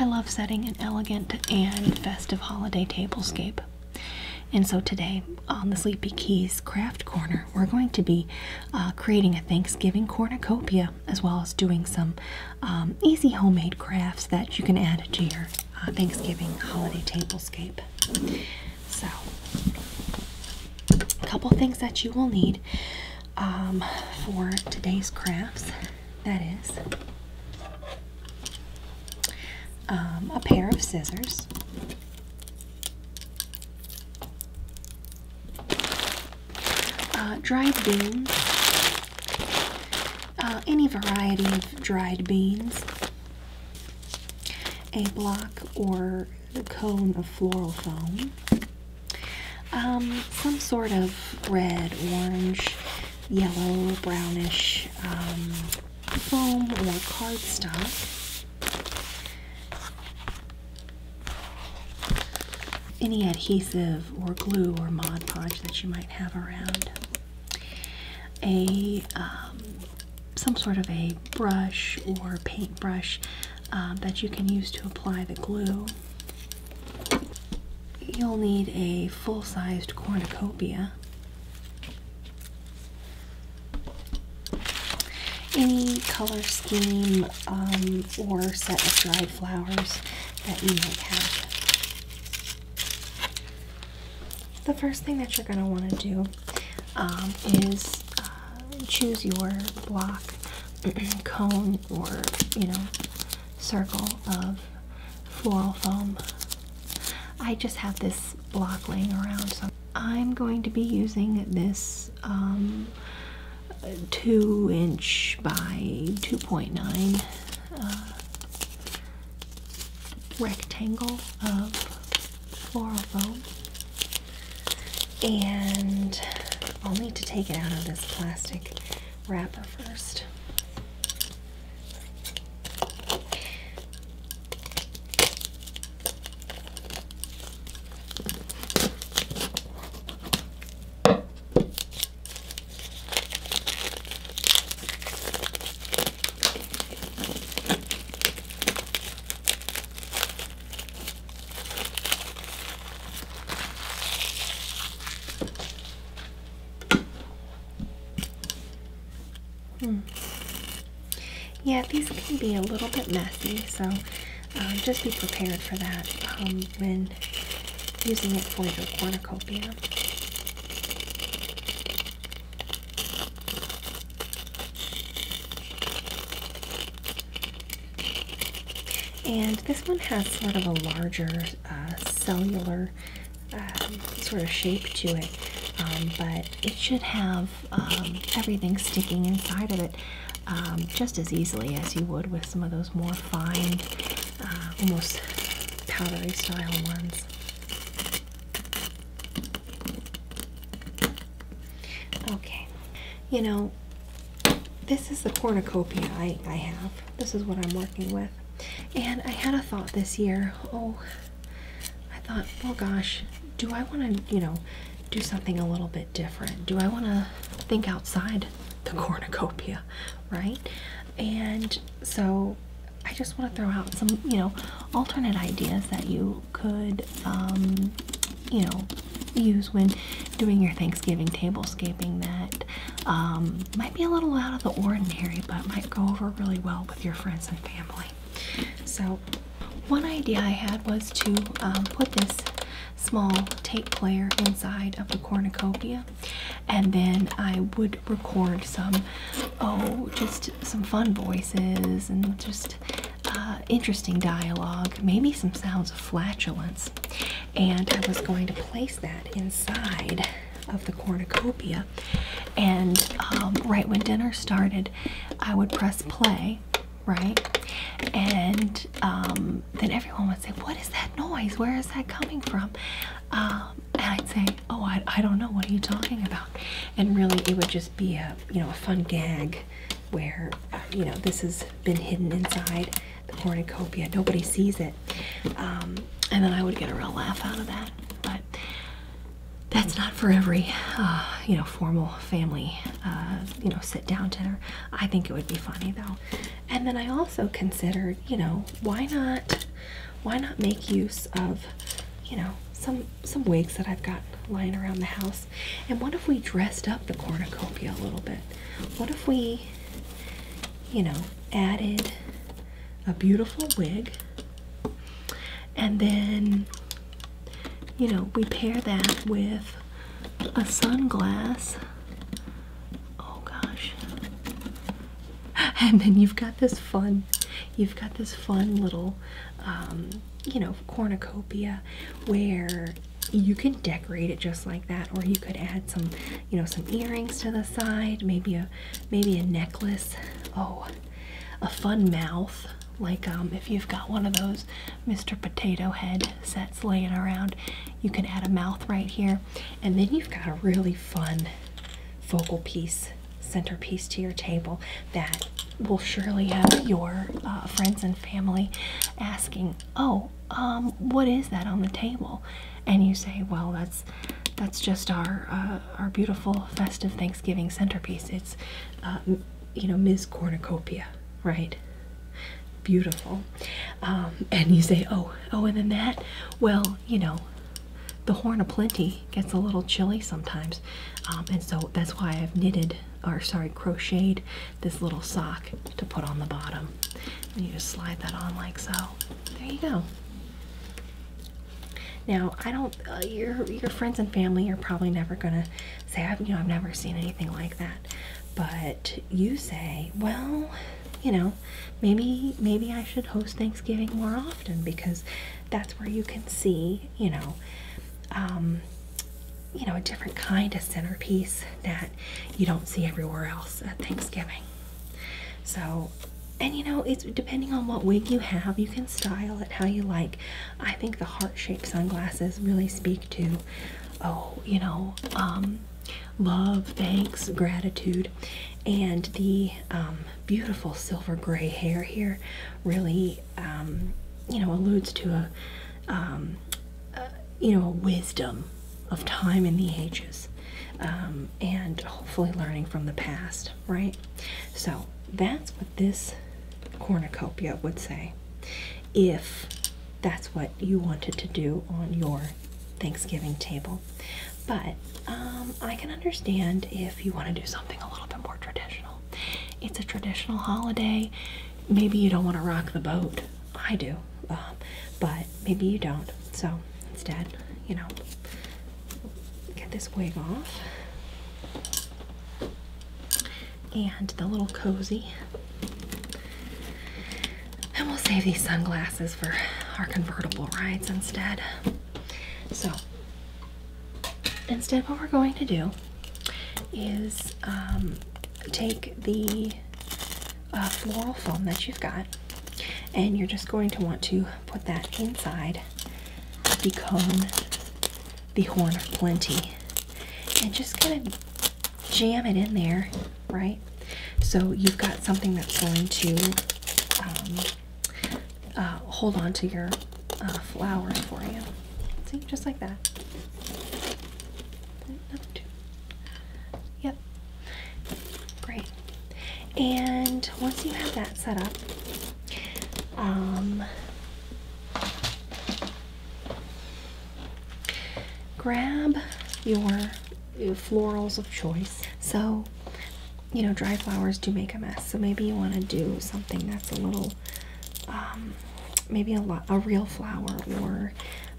I love setting an elegant and festive holiday tablescape. And so today on the Sleepy Keys Craft Corner, we're going to be uh, creating a Thanksgiving cornucopia as well as doing some um, easy homemade crafts that you can add to your uh, Thanksgiving holiday tablescape. So, a couple things that you will need um, for today's crafts. That is um, a pair of scissors. Uh, dried beans, uh, any variety of dried beans, a block or cone of floral foam, um, some sort of red, orange, yellow, brownish um, foam or cardstock. Any adhesive or glue or Mod Podge that you might have around. A um, some sort of a brush or paintbrush um, that you can use to apply the glue. You'll need a full-sized cornucopia. Any color scheme um, or set of dried flowers that you might have. The first thing that you're going to want to do um, is uh, choose your block cone or you know circle of floral foam. I just have this block laying around, so I'm going to be using this um, two inch by two point nine uh, rectangle of floral foam, and I'll need to take it out of this plastic wrapper first. Hmm. Yeah, these can be a little bit messy, so um, just be prepared for that um, when using it for your cornucopia. And this one has sort of a larger uh, cellular um, sort of shape to it, um, but it should have um, everything sticking inside of it just as easily as you would with some of those more fine, uh, almost powdery style ones. Okay, you know, this is the cornucopia I, I have. This is what I'm working with. And I had a thought this year. Oh, I thought, oh gosh, do I want to, you know, do something a little bit different? Do I want to think outside the cornucopia, right? And so I just want to throw out some, you know, alternate ideas that you could, um, you know, use when doing your Thanksgiving tablescaping that um, might be a little out of the ordinary but might go over really well with your friends and family. So one idea I had was to um, put this small tape player inside of the cornucopia and then I would record some oh just some fun voices and just uh, interesting dialogue maybe some sounds of flatulence and I was going to place that inside of the cornucopia. And um, right when dinner started, I would press play, right? And um, then everyone would say, What is that noise? Where is that coming from? Um, and I'd say, Oh, I, don't know. What are you talking about? And really, it would just be a you know a fun gag where uh, you know this has been hidden inside the cornucopia. Nobody sees it. Um, and then I would get a real laugh out of that. But that's not for every, uh, you know, formal family, uh, you know, sit down dinner. I think it would be funny though. And then I also considered, you know, why not, why not make use of, you know, some some wigs that I've got lying around the house. And what if we dressed up the cornucopia a little bit? What if we you know, added a beautiful wig. And then, you know, we pair that with a sunglass. Oh gosh. And then you've got this fun, you've got this fun little, um, you know, cornucopia where you can decorate it just like that or you could add some you know some earrings to the side maybe a maybe a necklace oh a fun mouth like um if you've got one of those mr potato head sets laying around you can add a mouth right here and then you've got a really fun focal piece centerpiece to your table that will surely have your uh, friends and family asking oh um, what is that on the table? And you say, well, that's that's just our uh, our beautiful festive Thanksgiving centerpiece. It's uh, you know Miss Cornucopia, right? Beautiful. Um, and you say, oh, oh, and then that. Well, you know, the horn of plenty gets a little chilly sometimes, um, and so that's why I've knitted or sorry crocheted this little sock to put on the bottom. you just slide that on like so. There you go. Now I don't. Uh, your your friends and family are probably never gonna say, I've you know I've never seen anything like that. But you say, well, you know, maybe maybe I should host Thanksgiving more often because that's where you can see, you know, um, you know a different kind of centerpiece that you don't see everywhere else at Thanksgiving. So, and you know, it's depending on what wig you have, you can style it how you like. I think the heart-shaped sunglasses really speak to, oh, you know, um, love, thanks, gratitude, and the um, beautiful silver gray hair here really, um, you know, alludes to a uh, you know, wisdom of time in the ages um, and hopefully learning from the past, right? So that's what this cornucopia would say if that's what you wanted to do on your Thanksgiving table. But um, I can understand if you want to do something a little bit more traditional. It's a traditional holiday. Maybe you don't want to rock the boat, I do, um, but maybe you don't. So instead, you know, get this wig off and the little cozy. And we'll save these sunglasses for our convertible rides instead. So, instead, what we're going to do is um, take the uh, floral foam that you've got, and you're just going to want to put that inside the cone, the horn of plenty, and just kind of jam it in there, right? So you've got something that's going to um, uh, hold on to your uh, for you. See, just like that. Yep, Great. And once you have that set up, um, grab your, florals of choice. So, you know, dry flowers do make a mess. So maybe you want to do something that's a little, um, maybe a lot, a real flower or,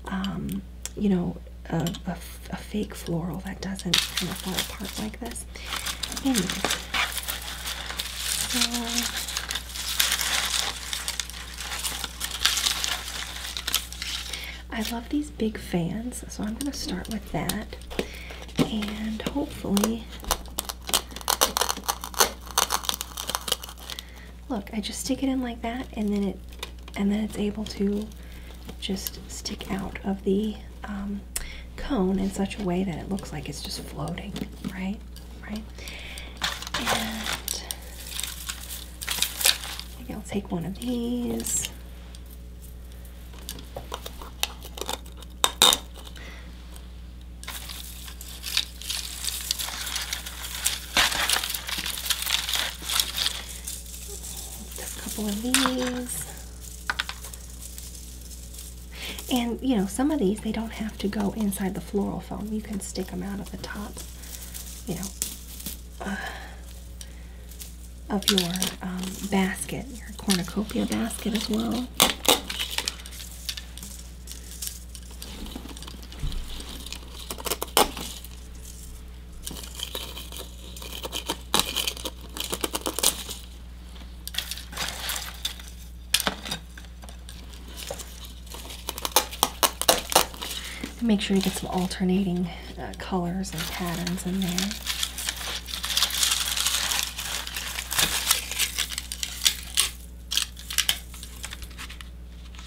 um, you know, a, fake floral that doesn't kind of fall apart like this. I love these big fans, so I'm going to start with that, and hopefully. Look, I just stick it in like that, and then it and then it's able to just stick out of the um, cone in such a way that it looks like it's just floating, right? Right? I'll take one of these a couple of these. And you know, some of these they don't have to go inside the floral foam. You can stick them out of the top, you know, uh, of your um, basket, your cornucopia basket as well. Make sure you get some alternating uh, colors and patterns in there.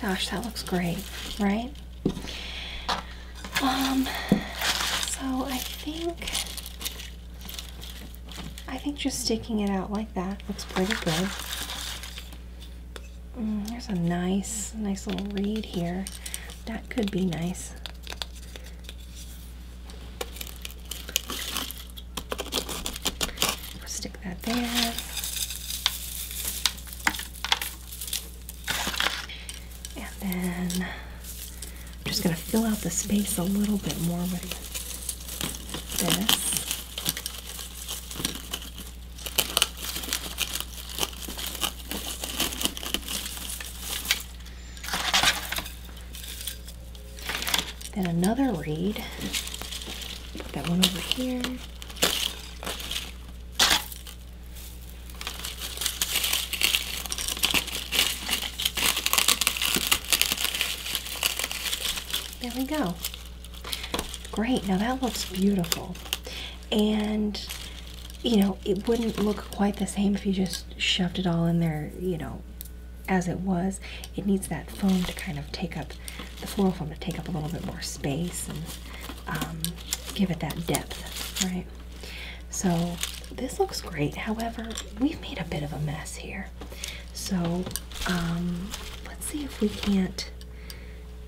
Gosh, that looks great, right? Um, so I think I think just sticking it out like that looks pretty good. Mm, there's a nice, nice little read here. That could be nice. Stick that there. And then I'm just going to fill out the space a little bit more with this. Then another reed. Put that one over here. There we go. Great, now that looks beautiful. And, you know, it wouldn't look quite the same if you just shoved it all in there, you know, as it was. It needs that foam to kind of take up, the floral foam to take up a little bit more space and um, give it that depth, right? So this looks great. However, we've made a bit of a mess here. So um, let's see if we can't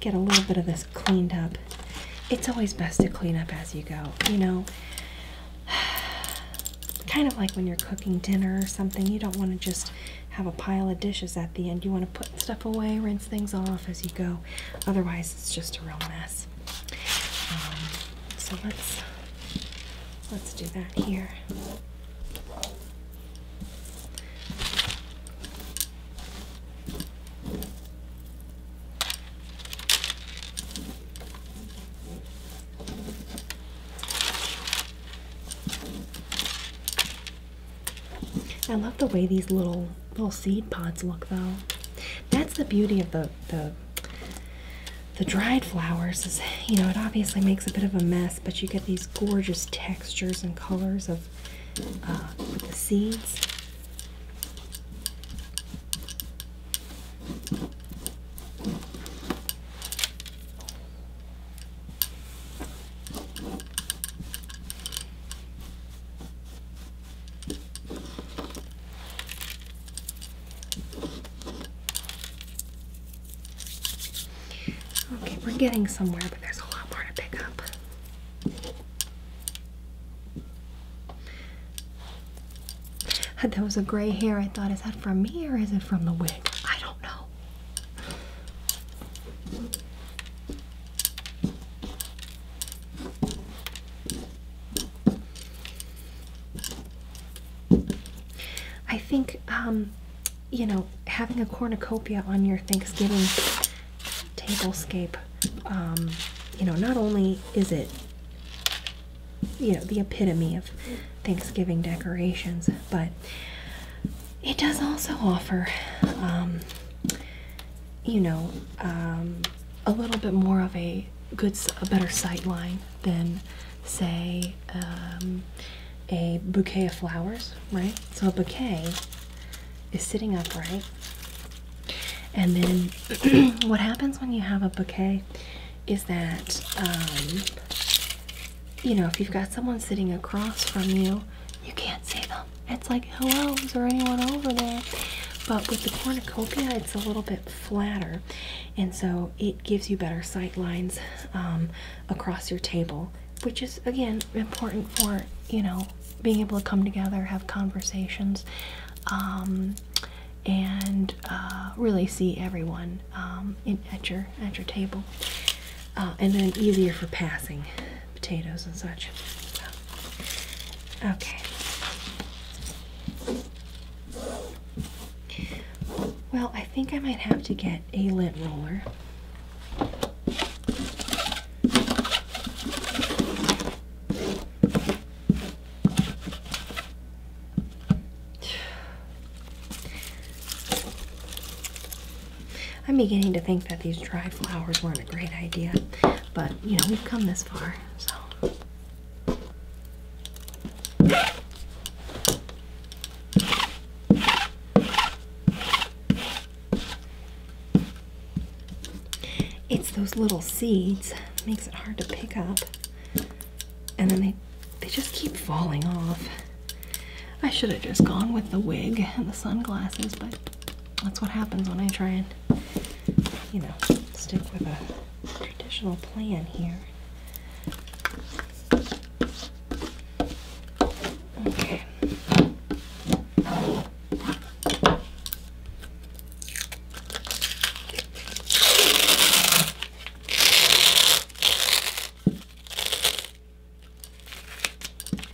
get a little bit of this cleaned up. It's always best to clean up as you go, you know. kind of like when you're cooking dinner or something, you don't want to just have a pile of dishes at the end. You want to put stuff away, rinse things off as you go. Otherwise, it's just a real mess. Um, so let's let's do that here. I love the way these little little seed pods look though. That's the beauty of the the the dried flowers is you know it obviously makes a bit of a mess, but you get these gorgeous textures and colors of uh, the seeds. Okay, we're getting somewhere, but there's a lot more to pick up. That was a gray hair. I thought, is that from me or is it from the wig? I don't know. I think, um, you know, having a cornucopia on your Thanksgiving table scape, um, you know, not only is it, you know, the epitome of Thanksgiving decorations, but it does also offer um, you know, um, a little bit more of a good, a better sight line than, say, um, a bouquet of flowers, right? So a bouquet is sitting upright. And then what happens when you have a bouquet is that, um, you know, if you've got someone sitting across from you, you can't see them. It's like, hello, is there anyone over there? But with the cornucopia, it's a little bit flatter, and so it gives you better sight lines um, across your table, which is again important for you know being able to come together, have conversations, um, and uh, really see everyone um, at your at your table, uh, and then easier for passing potatoes and such. okay. Well, I think I might have to get a lint roller. I'm beginning to think that these dry flowers weren't a great idea. But you know, we've come this far, so it's those little seeds makes it hard to pick up. And then they they just keep falling off. I should have just gone with the wig and the sunglasses, but that's what happens when I try and, you know, stick with a traditional plan here. Okay.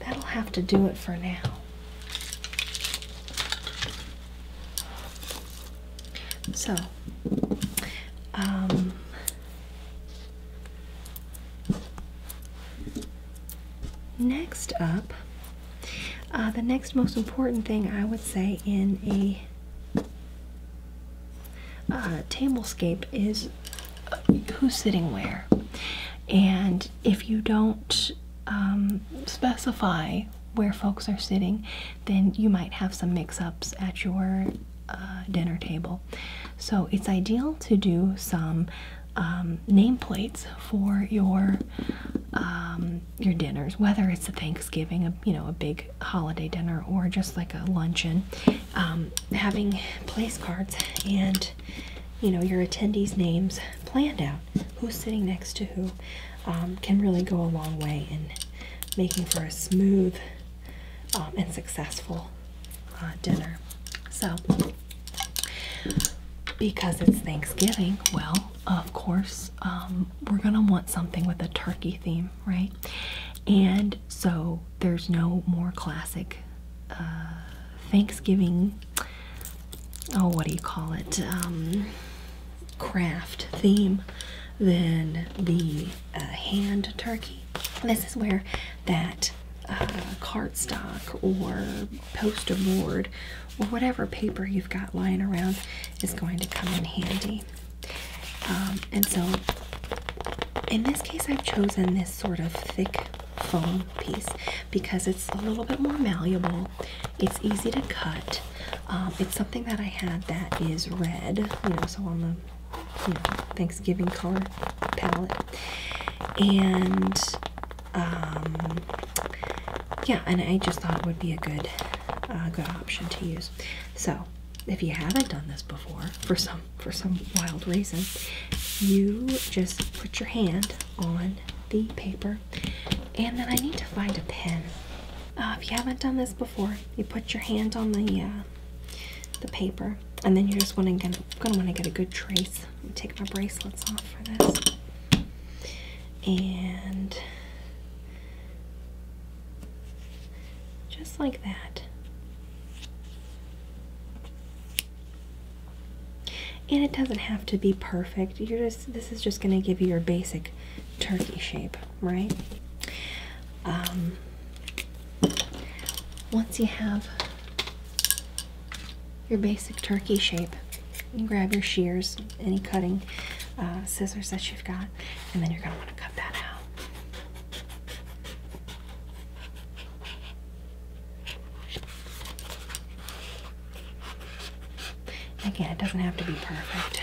That'll have to do it for now. So, um, next up, uh, the next most important thing I would say in a uh, table scape is who's sitting where. And if you don't um, specify where folks are sitting, then you might have some mix ups at your uh, dinner table. So it's ideal to do some um, nameplates for your um, your dinners, whether it's a Thanksgiving, a, you know, a big holiday dinner, or just like a luncheon. having place cards and you know your attendees names planned out who's sitting next to who um, can really go a long way in making for a smooth um, and successful uh, dinner so because it's thanksgiving well of course um, we're gonna want something with a turkey theme right and so there's no more classic uh, Thanksgiving, oh, what do you call it? Um, craft theme Then the uh, hand turkey. This is where that uh, cardstock or poster board or whatever paper you've got lying around is going to come in handy. Um, and so in this case, I've chosen this sort of thick foam piece because it's a little bit more malleable. It's easy to cut. Um, it's something that I had that is red, you know, so on the Thanksgiving color palette. And um, yeah, and I just thought it would be a good, uh, good option to use. So if you haven't done this before for some for some wild reason, you just put your hand on the paper and then I need to find a pen. Uh, if you haven't done this before, you put your hand on the uh, the paper and then you're just wanna get, gonna want to get a good trace. I'm take my bracelets off for this. And just like that. And it doesn't have to be perfect. You're just this is just going to give you your basic turkey shape, right? Um, once you have your basic turkey shape, you grab your shears, any cutting uh, scissors that you've got, and then you're going to want to cut that out. Again, it doesn't have to be perfect.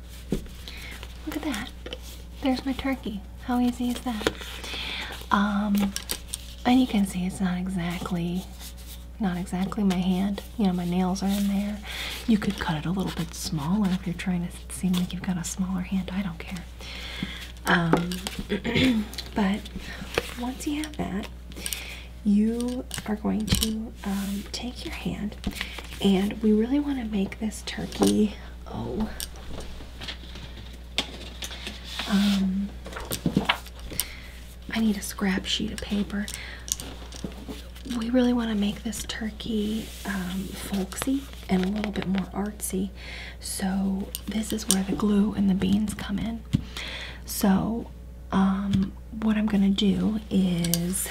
Look at that. There's my turkey. How easy is that? Um, and you can see it's not exactly, not exactly my hand. You know, my nails are in there. You could cut it a little bit smaller if you're trying to seem like you've got a smaller hand. I don't care. Um, but once you have that, you are going to um, take your hand and we really want to make this turkey Oh. Um, I need a scrap sheet of paper. We really want to make this turkey um, folksy and a little bit more artsy. So this is where the glue and the beans come in. So um, what I'm going to do is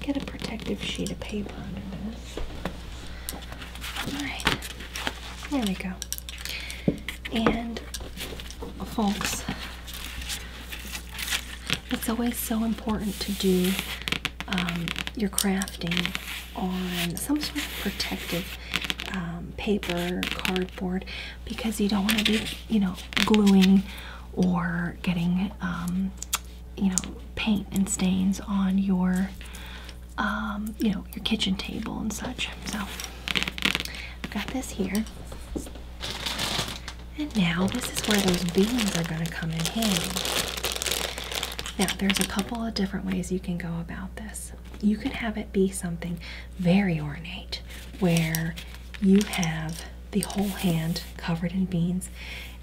get a protective sheet of paper under this. Alright, there we go. And folks, it's always so important to do um, your crafting on some sort of protective um, paper, cardboard, because you don't want to be, you know, gluing or getting um, you know, paint and stains on your, um, you know, your kitchen table and such. So, I've got this here. And now, this is where those beans are going to come in handy. Now, there's a couple of different ways you can go about this. You can have it be something very ornate, where you have the whole hand covered in beans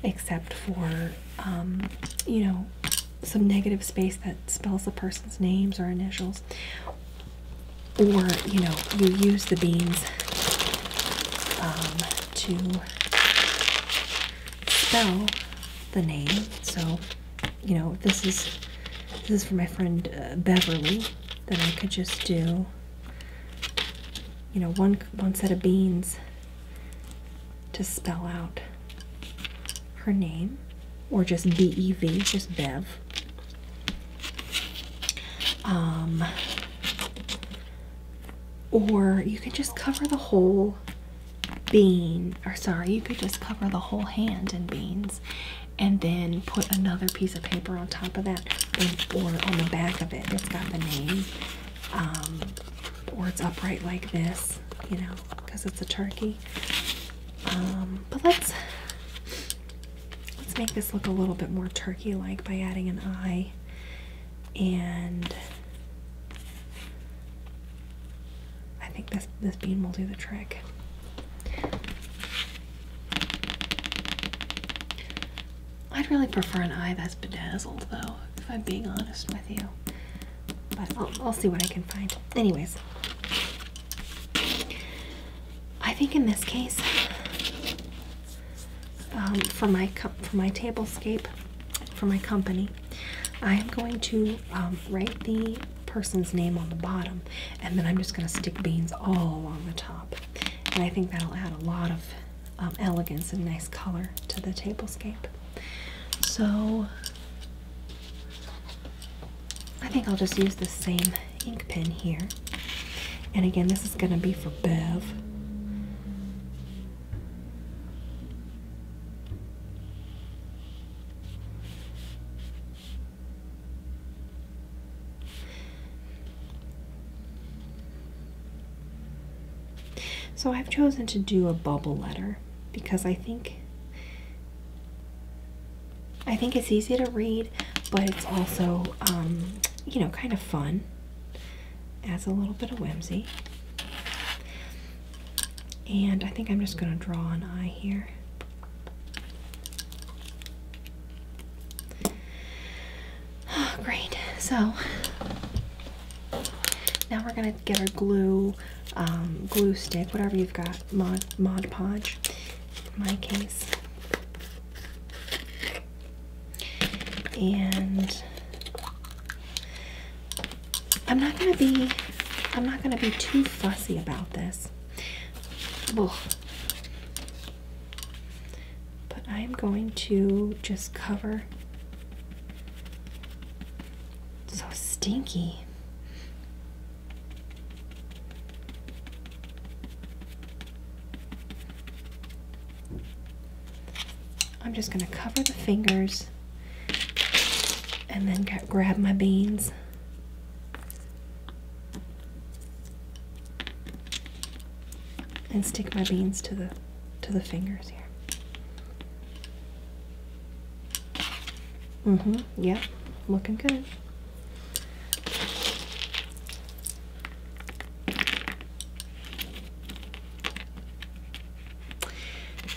except for um, you know some negative space that spells the person's names or initials or you know you use the beans um, to spell the name so you know this is this is for my friend uh, Beverly that I could just do you know one one set of beans to spell out her name or just BEV, just Bev. Um, or you could just cover the whole bean, or sorry, you could just cover the whole hand in beans and then put another piece of paper on top of that or on the back of it. It's got the name. Um, or it's upright like this, you know, because it's a turkey. Um, but let's let's make this look a little bit more turkey-like by adding an eye and I think this this bean will do the trick. I'd really prefer an eye that's bedazzled though, if I'm being honest with you. But I'll, see what I can find. Anyways, I think in this case, um, for my for my tablescape, for my company, I am going to um, write the person's name on the bottom, and then I'm just going to stick beans all along the top, and I think that'll add a lot of um, elegance and nice color to the table scape. So I think I'll just use the same ink pen here. And again, this is going to be for Bev. So I've chosen to do a bubble letter because I think I think it's easy to read, but it's also um, you know kind of fun. Adds a little bit of whimsy. And I think I'm just going to draw an eye here. great. So now we're going to get our glue, um, glue stick, whatever you've got, Mod, Mod Podge, in my case. And I'm not gonna be, I'm not gonna be too fussy about this. Ugh. But I am going to just cover so stinky. I'm just going to cover the fingers and then grab my beans. And stick my beans to the to the fingers here. Mm-hmm. Yep. Looking good.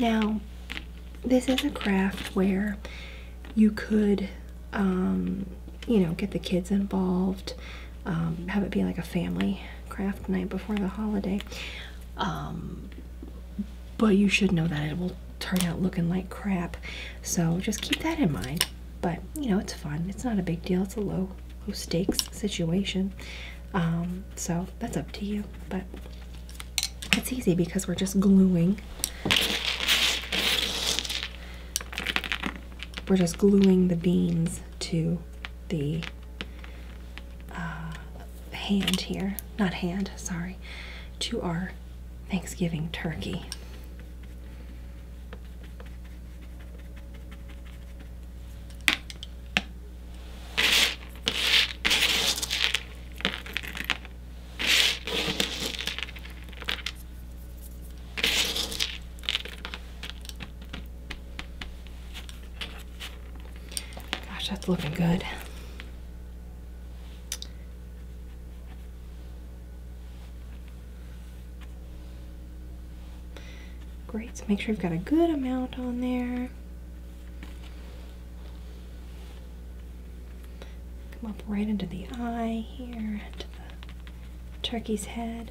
Now, this is a craft where you could, um, you know, get the kids involved, um, have it be like a family craft night before the holiday. Um, but you should know that it will turn out looking like crap. So just keep that in mind. But you know, it's fun. It's not a big deal. It's a low, stakes situation. Um, so that's up to you. But it's easy because we're just gluing. We're just gluing the beans to the uh, hand here, not hand, sorry, to our Thanksgiving turkey. Gosh, that's looking good. Great, so make sure you've got a good amount on there. Come up right into the eye here, into the turkey's head.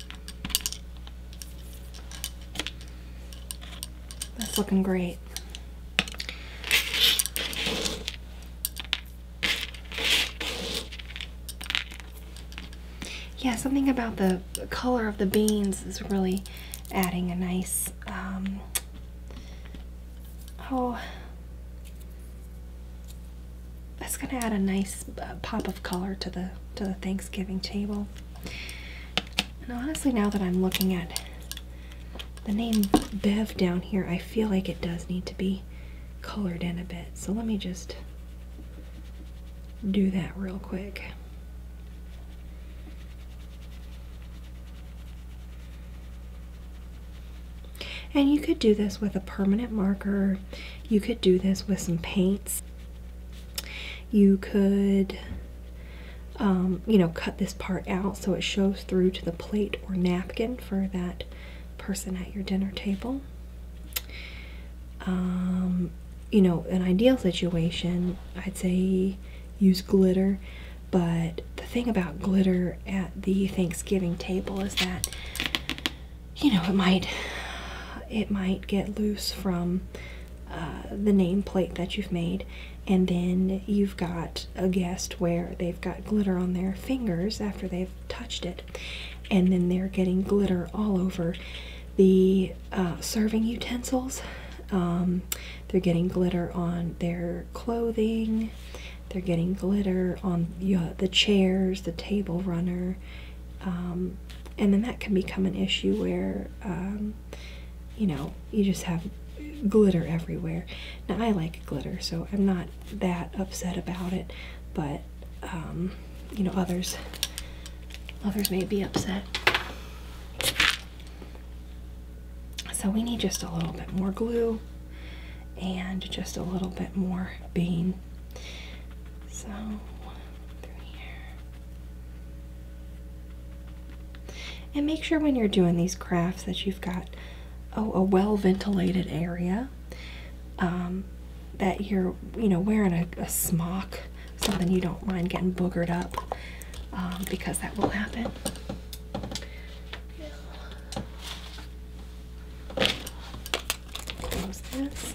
That's looking great. Yeah, something about the color of the beans is really adding a nice, um, oh, that's gonna add a nice uh, pop of color to the to the Thanksgiving table. And honestly, now that I'm looking at the name Bev down here, I feel like it does need to be colored in a bit. So let me just do that real quick. And you could do this with a permanent marker. You could do this with some paints. You could, um, you know, cut this part out so it shows through to the plate or napkin for that person at your dinner table. Um, you know, an ideal situation, I'd say use glitter. But the thing about glitter at the Thanksgiving table is that, you know, it might it might get loose from uh, the nameplate that you've made, and then you've got a guest where they've got glitter on their fingers after they've touched it, and then they're getting glitter all over the uh, serving utensils. Um, they're getting glitter on their clothing. They're getting glitter on the chairs, the table runner, um, and then that can become an issue where, um, you know, you just have glitter everywhere. Now, I like glitter, so I'm not that upset about it, but, um, you know, others, others may be upset. So we need just a little bit more glue and just a little bit more bean. So, and make sure when you're doing these crafts that you've got oh, a well ventilated area, um, that you're, you know, wearing a, a smock, something you don't mind getting boogered up, um, because that will happen. Close this.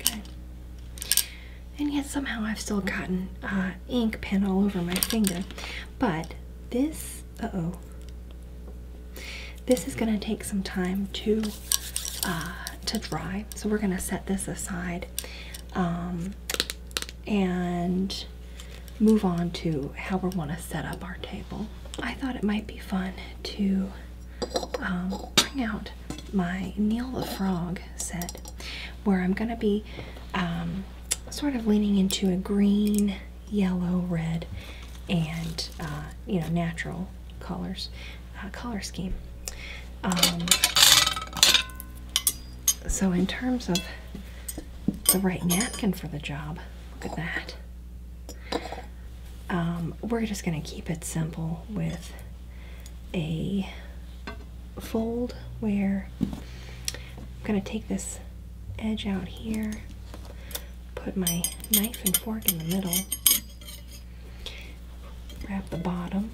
Okay. And yet somehow I've still gotten uh, ink pen all over my finger. But this, oh this is gonna take some time to uh, to dry. So we're gonna set this aside um, and move on to how we want to set up our table. I thought it might be fun to um, bring out my Neil the Frog set, where I'm going to be um, sort of leaning into a green, yellow, red, and uh, you know natural colors, uh, color scheme. Um, so in terms of the right napkin for the job, look at that. Um, we're just going to keep it simple with a fold where I'm going to take this edge out here, put my knife and fork in the middle, wrap the bottom,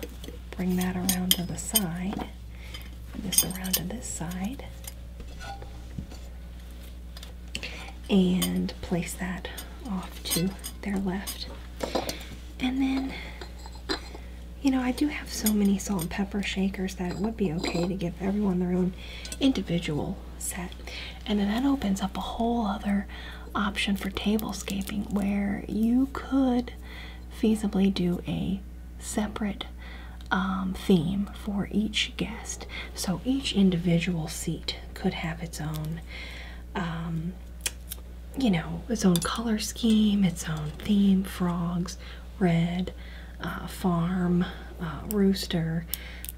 bring that around to the side, this around to this side, and place that off to their left. And then, you know, I do have so many salt and pepper shakers that it would be okay to give everyone their own individual set. And then that opens up a whole other option for tablescaping where you could feasibly do a separate um, theme for each guest. So each individual seat could have its own, um, you know, its own color scheme, its own theme, frogs, red, uh, farm, uh, rooster,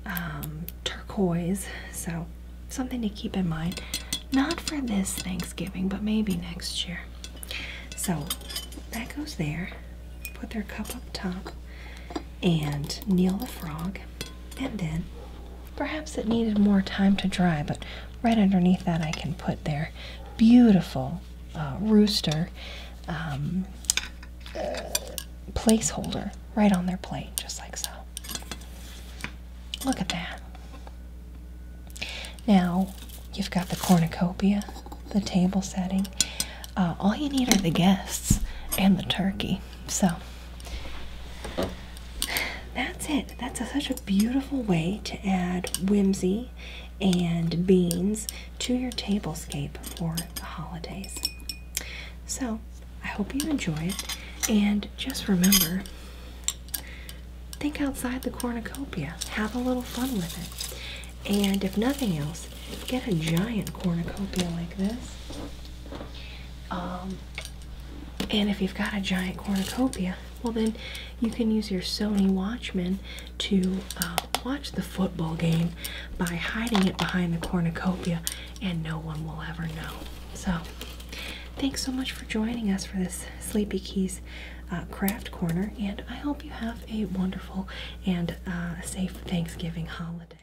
um, turquoise. So something to keep in mind. Not for this Thanksgiving, but maybe next year. So that goes there. Put their cup up top and Neil the Frog, and then perhaps it needed more time to dry, but right underneath that I can put their beautiful uh, rooster um, uh, placeholder right on their plate, just like so. Look at that. Now, you've got the cornucopia, the table setting. Uh, all you need are the guests and the turkey. So, that's it. That's such a beautiful way to add whimsy and beans to your tablescape for the holidays. So, I hope you enjoy it. And just remember think outside the cornucopia, have a little fun with it. And if nothing else, get a giant cornucopia like this um, and if you've got a giant cornucopia, well, then you can use your Sony Watchman to uh, watch the football game by hiding it behind the cornucopia, and no one will ever know. So, thanks so much for joining us for this Sleepy Keys uh, craft corner, and I hope you have a wonderful and uh, safe Thanksgiving holiday.